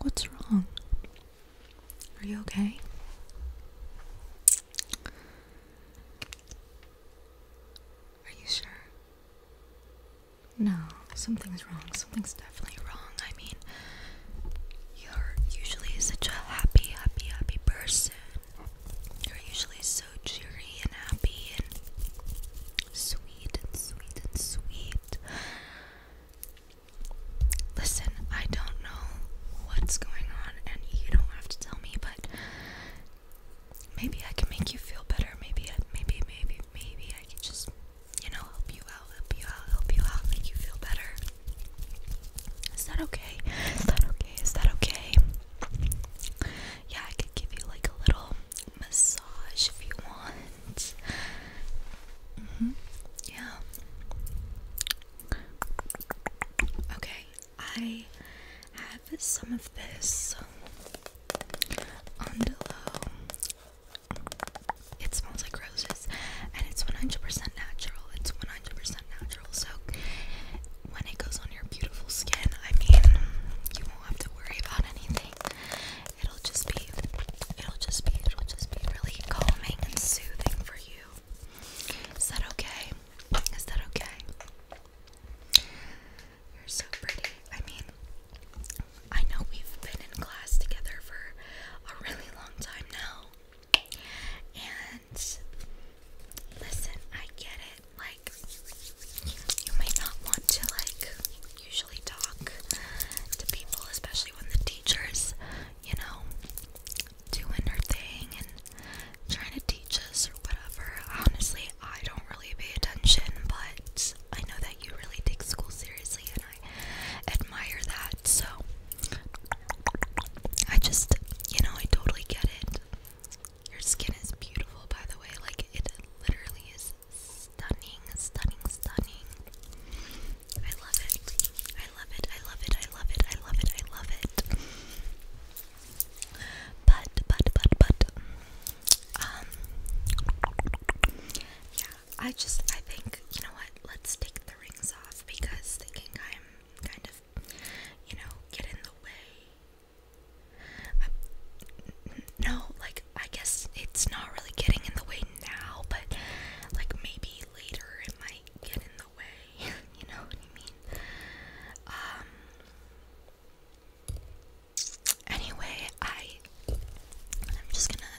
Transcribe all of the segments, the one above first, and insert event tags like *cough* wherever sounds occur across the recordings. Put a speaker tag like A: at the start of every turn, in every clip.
A: What's wrong? Are you okay? Are you sure? No, something's wrong. Something's definitely wrong. I mean, you're usually such a happy, happy, happy person. You're usually so cheery and happy and sweet and sweet and sweet. Listen, I don't know what's going on, and you don't have to tell me, but maybe I can make you feel better. Maybe, I, maybe, maybe, maybe I can just you know, help you out, help you out, help you out, make you feel better. Is that okay? Is that okay? Is that okay? Yeah, I could give you like a little massage if you want. Mm-hmm. Yeah. Okay, I have some of this it smells like roses and it's 100% natural. It's 100% natural. So when it goes on your beautiful skin, I mean, you won't have to worry about anything. It'll just be it'll just be it'll just be really calming and soothing for you. Is that okay? Is that okay? You're so pretty. I mean, I know we've been in class together for a really long time now. And listen, I get it. Like, you might not want to, like, usually talk to people, especially when the teacher's, you know, doing her thing and trying to teach us or whatever. Honestly, I don't really pay attention, but I know that you really take school seriously I admire that. So I just, you know, I totally get it. Your skin is beautiful, by the way. Like it literally is stunning, stunning, stunning. I love it. I love it. I love it. I love it. I love it. I love it. But but but but um yeah, I just, I think, you know what? Let's take the rings off because they can i kind of, you know, get in the way. Um, no, like I guess it's not really getting in the way now, but like maybe later it might get in the way. *laughs* you know what I mean? Um. Anyway, I I'm just gonna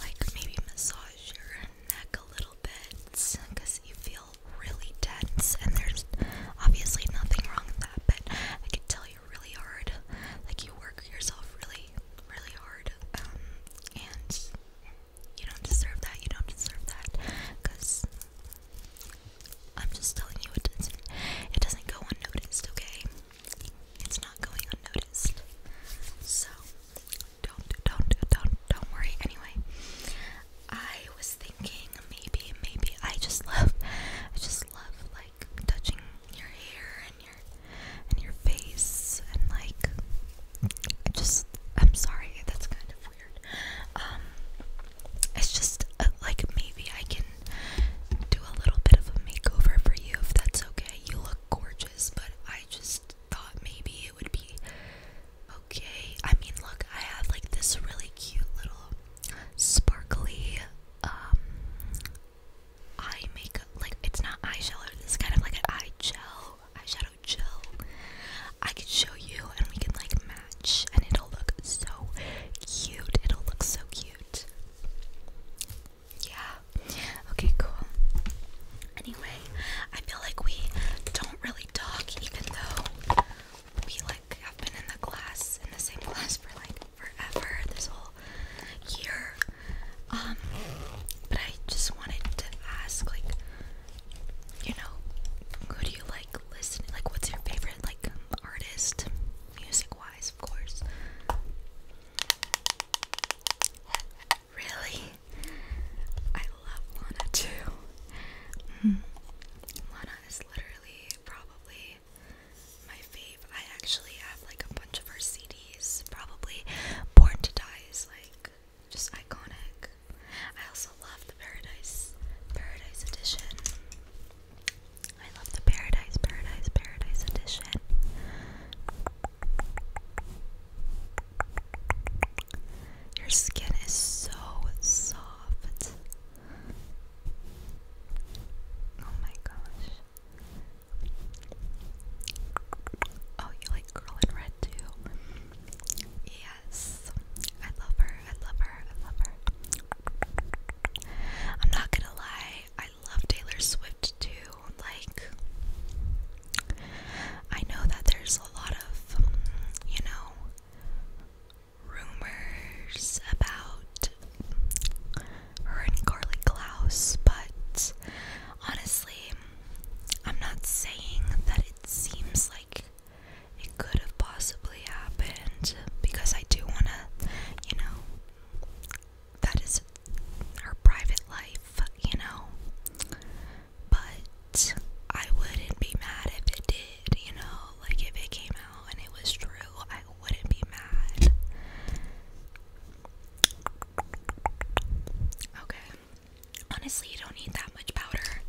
A: like maybe massage your neck a little bit because you feel really tense and there's obviously nothing wrong with that, but I can tell you're really hard. Like you work yourself really, really hard. Um, and you don't deserve that, you don't deserve that. Cause I'm just telling you it doesn't it doesn't go unnoticed, okay? It's not going unnoticed. So don't don't don't don't worry anyway. I was thinking maybe maybe I just love I just love like touching your hair and your and your face and like just I'm sorry that's kind of weird. Um it's just uh, like maybe I can do a little bit of a makeover for you if that's okay. You gorgeous, but I just thought maybe it would be okay. I mean, look, I have like this really cute little sparkly um eye makeup. Like, it's not eyeshadow, it's kind of like an eye gel, eyeshadow gel. I could show you and we can like match, and it'll look so cute. It'll look so cute. Yeah. Okay, cool. Anyway, I feel like we don't really talk even though we like have been in the class in the same *laughs* class for like forever this whole year. Um but I just wanted to ask like you know, who do you like listening like what's your favorite like artist music wise of course? Really? I love Lana too. Mm. Lana is literally probably my fave. I actually have like a bunch of her CDs. Probably Born to Die is like just iconic. I also love the Paradise Paradise Edition. I love the Paradise, Paradise, Paradise edition. Your skin is so soft. Oh my gosh. Oh, you like girl in red too? Yes. I love her. I love her. I love her. I'm not gonna lie. I love Taylor Swift too. Like, I know that there's a lot of, um, you know, rumors about her and Carly Klaus, but honestly, I'm not saying that it seems like it could have possibly happened because I do want to, you know, that is her private life, you know. But I wouldn't be mad if it did, you know. Like if it came out and it was true, I wouldn't be mad. Okay. Honestly, you don't need that much powder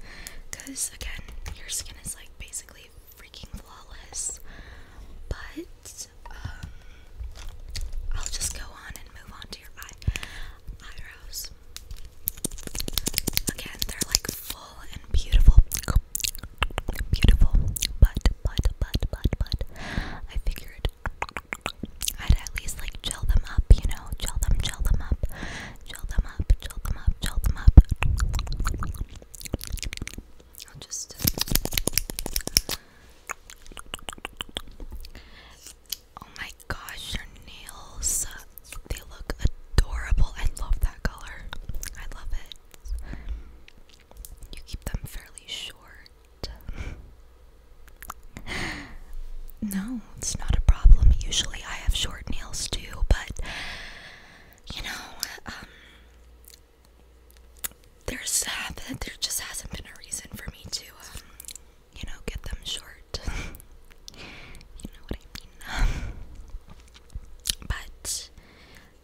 A: because, again, your skin is like basically freaking flawless. But um, I'll just go on and move on to your eye eyebrows. Again, they're like full and beautiful. Beautiful, but but but but but I figured I'd at least like gel them up, you know, gel them, gel them up, gel them up, gel them up, gel them up. I'll just uh, Oh my gosh, your nails. They look adorable. I love that color. I love it. You keep them fairly short. *laughs* no, it's not a problem. Usually I have short nails too, but you know, um, there's that there just hasn't been a reason for me to, um, you know, get them short. *laughs* you know what I mean? *laughs* but,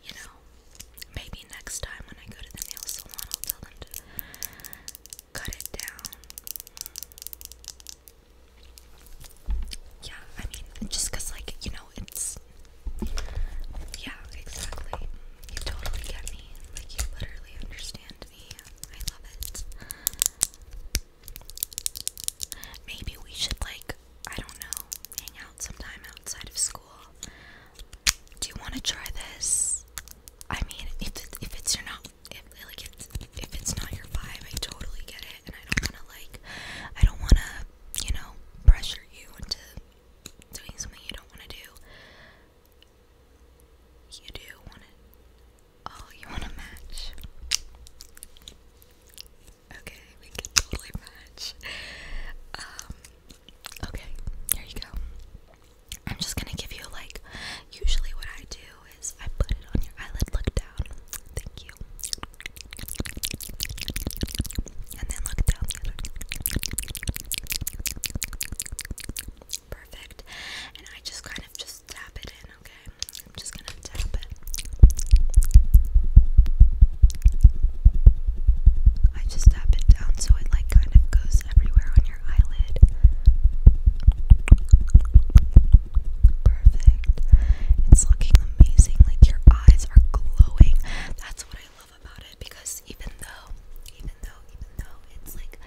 A: you know, maybe next time when I go to the nail salon, I'll tell them to cut it down. Yeah, I mean, just like, you know, it's yeah, exactly. You totally get me. Like, you literally understand me. I love it. Maybe we should, like, I don't know, hang out sometime outside of school. Do you want to try this? I mean, if, it, if it's your not, if, like, if, if it's not your vibe, I totally get it. And I don't want to, like, I don't want to, you know, pressure you into doing something you don't want to do, you do want to. Oh, you want to match? Okay, we can totally match. Um, okay, here you go. I'm just gonna give you like. Usually, what I do is I put it on your eyelid. Look down. Thank you and then look down Perfect. And I just kind of just tap it in, okay? I'm just gonna tap it. I just tap it down so it like kind of goes everywhere on your eyelid. Perfect. It's looking amazing. Like your eyes are glowing. That's what I because even though, even though, even though it's like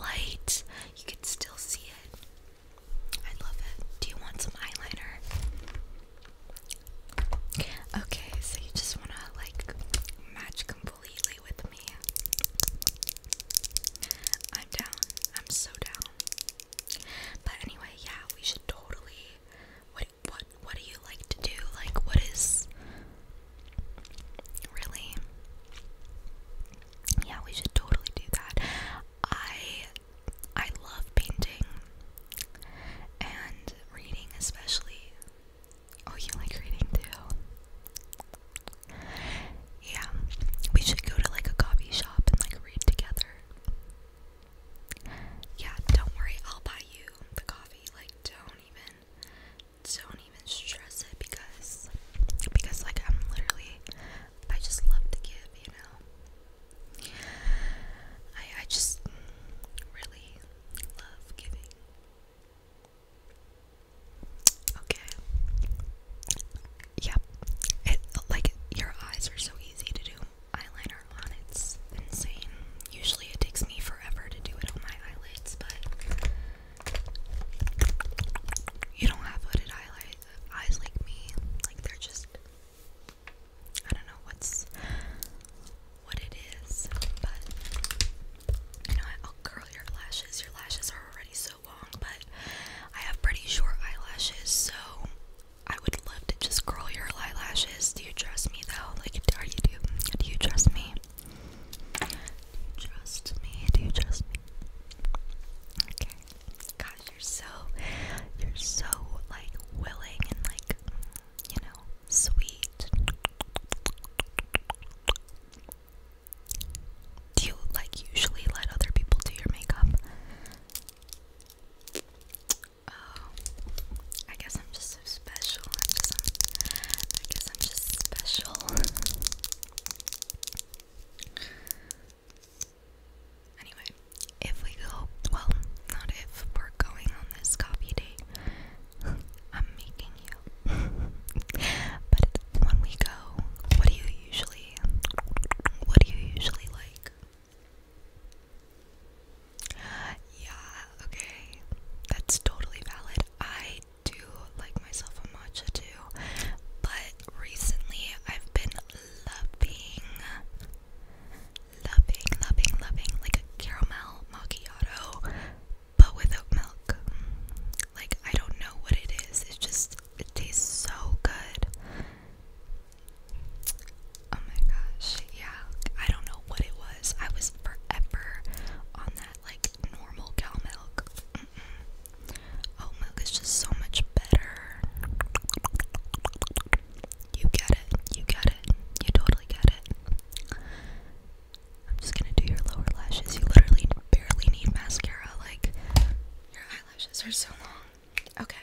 A: light, you can still see it. I love it. Do you want some eyeliner? Okay, so you just want to like match completely with me. I'm down. I'm so down. But anyway, yeah, we should totally what what do you like to do? Like what is really Yeah, we should totally do that. I I love painting and reading especially. Oh, you like reading too? Yeah. We should go to like a coffee shop and like read together. Yeah, don't worry, I'll buy you the coffee coffee. Like don't even don't even stress it because because like I'm literally I just love to give, you know. I I just really love giving. Okay. Yep. It like your eyes are so easy to do eyeliner on. It's insane. Usually it takes me forever to do it on my eyelids, but you don't have hooded eyelight eyes like me. Like they're just I don't know what's what it is, but you know I'll curl your lashes. Your lashes are already so long, but I have pretty short eyelashes, so I would love to just curl your eyelashes do you trust me though? Like, are you do? Do you trust me? Do you trust me? Do you trust me? Okay. God, you're so, you're so like willing and like, you know, sweet. Do you like usually let other people do your makeup? Oh, I guess I'm just so special. I guess I'm, I guess I'm just special. anyway, if we go, well, not if we're going on this coffee date, I'm making you. but when we go, what do you usually, what do you usually like? Yeah, okay. That's totally valid. I do like myself a matcha too, but recently I've been loving, loving, loving, loving like a caramel macchiato, but without milk. Like, I don't know what it is, it just, it tastes so good. Oh my gosh, yeah. I don't know what it was. I was forever on that like normal cow milk. Oh -mm. Oat milk is just so much better. You get it. You get it. You totally get it. I'm just gonna do your lower lashes. You literally barely need mascara. Like, your eyelashes are so long. Okay.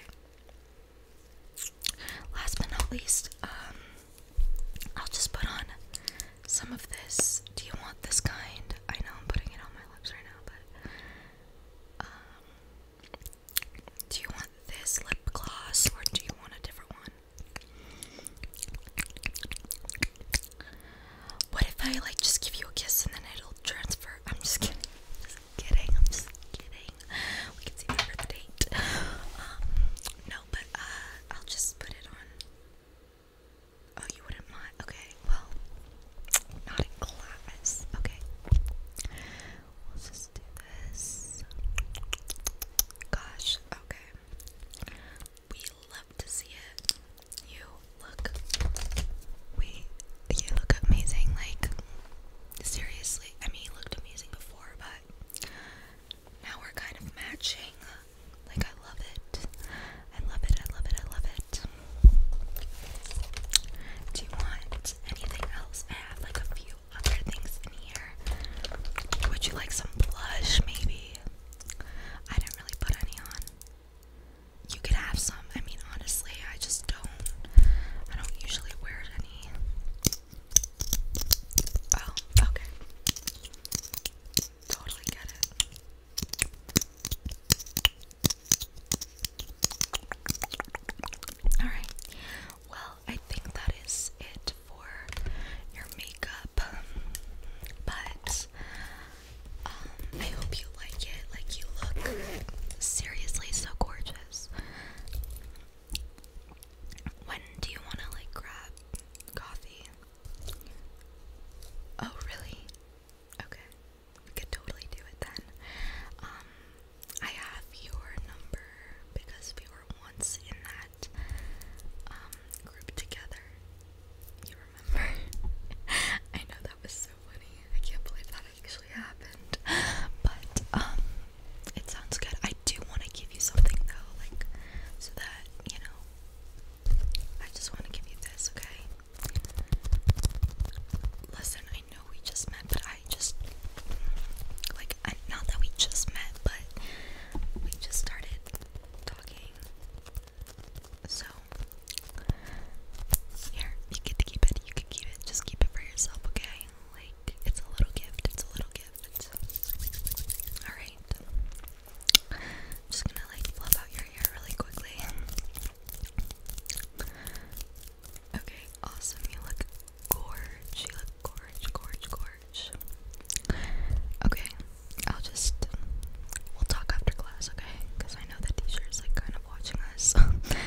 A: Last but not least, um, I'll just put on some of this. Do you want this kind? I know I'm putting it on my lips right now, but um, do you want this lip gloss or do you want a different one? What if I like just give you a kiss and then it'll transfer? I'm just kidding. Just *laughs* kidding. I'm just kidding we can see that for the date. Um, no, but uh, I'll just put it on. Oh, you wouldn't mind? Okay, well, not in class. Okay, we'll just do this. Gosh, okay. We love to see it. You look, we, you look amazing. Like, seriously, I mean, you looked amazing before, but now we're kind of matching. Like, I love it. I love it. I love it. I love it. Do you want anything else? I have like a few other things in here. Would you like some blush, maybe? I didn't really put any on. You could have some. I mean, honestly, I just don't. I don't usually wear any. Oh, okay. Totally get it. Alright, well, I think that is it for your makeup. But um, I hope you like it. Like, you look seriously so gorgeous. When do you want to like grab coffee? Oh, really? Okay. We could totally do it then. Um I have your number because we were once in that um group together. You remember? *laughs* I know that was so funny. I can't believe that actually happened. *laughs* But um it sounds good. I do want to give you something though, like so that you know. I just want to give you this, okay? Listen, I know we just met, but I just like not that we just met, but we just started talking. So here, you get to keep it. You can keep it. Just keep it for yourself, okay? Like it's a little gift. It's a little Alright. i just gonna like fluff out your hair really quickly. Okay, awesome. You look gorge. You look gorge, gorge, gorge. Okay, I'll just. We'll talk after class, okay? Because I know that teacher is like kind of watching us. *laughs* okay,